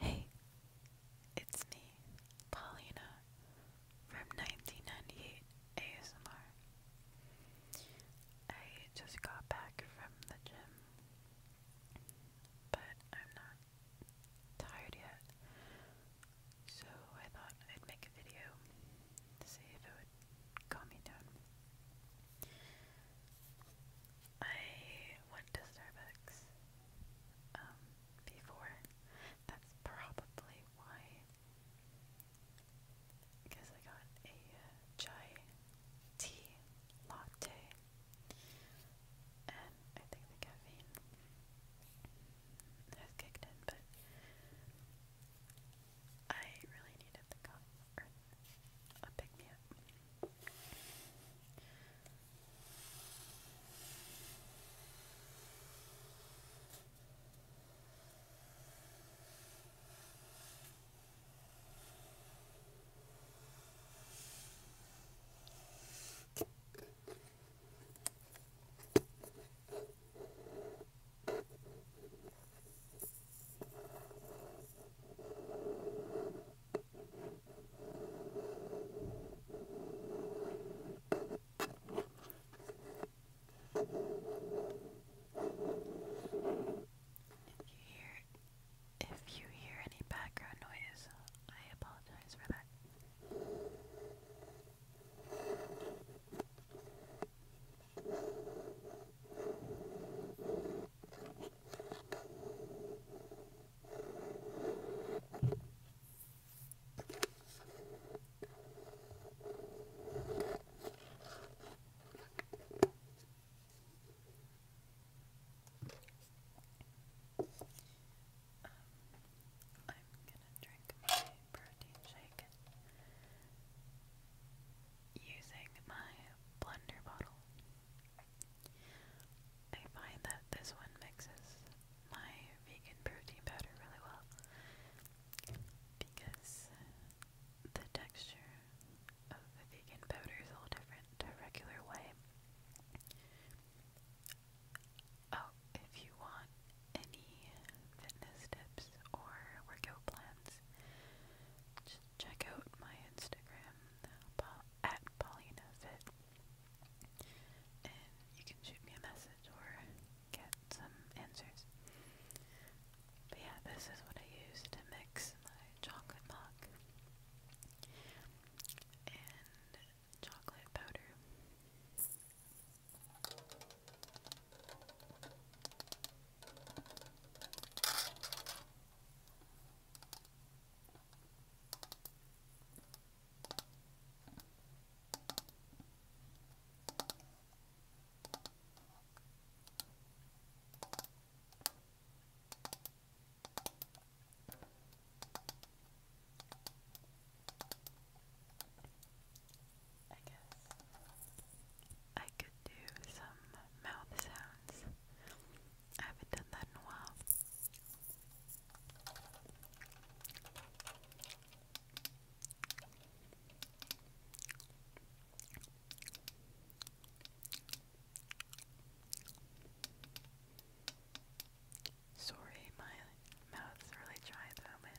Hey, it's me, Paulina from 1998 ASMR. I just got back from the gym but I'm not tired yet, so I thought I'd make a video to see if it would calm me down. I went to Starbucks um, before. That's probably why. Because I got a uh, chai tea latte, and I think the caffeine has kicked in, but I really needed the coffee or a pick me up. If you hear if you hear any background noise, I apologize for that. I'm gonna drink my protein shake using my blender bottle. I find that this one mixes my vegan protein powder really well because the texture of the vegan powder is a little different regular whey. Oh, if you want any fitness tips or workout plans, just check out my Instagram PaulinaFit, and you can shoot me a message or get some answers. But yeah, this is what I use to mix my chocolate milk and chocolate powder. I guess I could do some mouth sounds. I haven't done that in a while. Sorry, my mouth's really dry at the moment.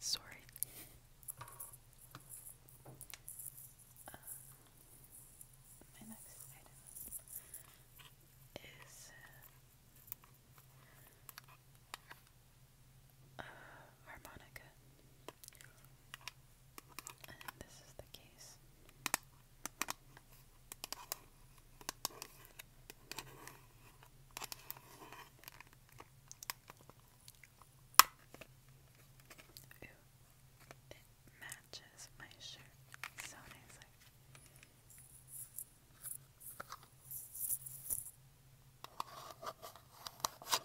Sorry. Uh, my next item is uh, uh, harmonica. And this is the case. it matches my shirt so nicely.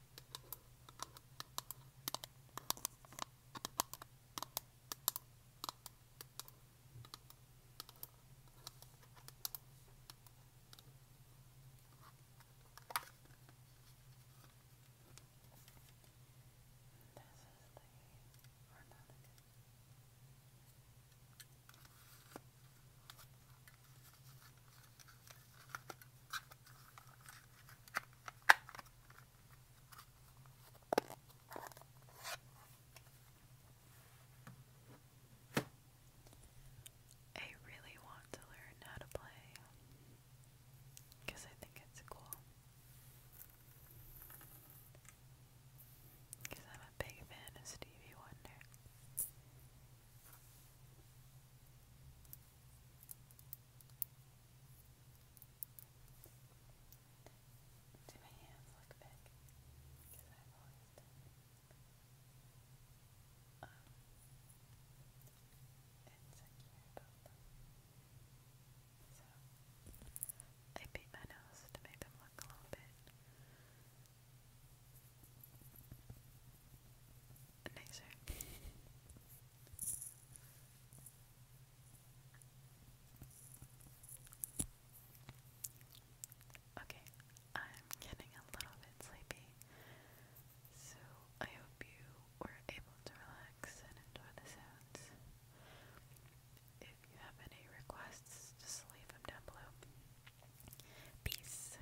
the harmonica. I really want to learn how to play because I think it's cool. Because I'm a big fan of Stevie Wonder. Do my hands look big? Because I've always done it. Um, insecure about them. So, I beat my nose to make them look a little bit nicer. Okay, I'm getting a little bit sleepy, so I hope you were able to relax and enjoy the sounds. If you have any requests, just leave them down below. Peace.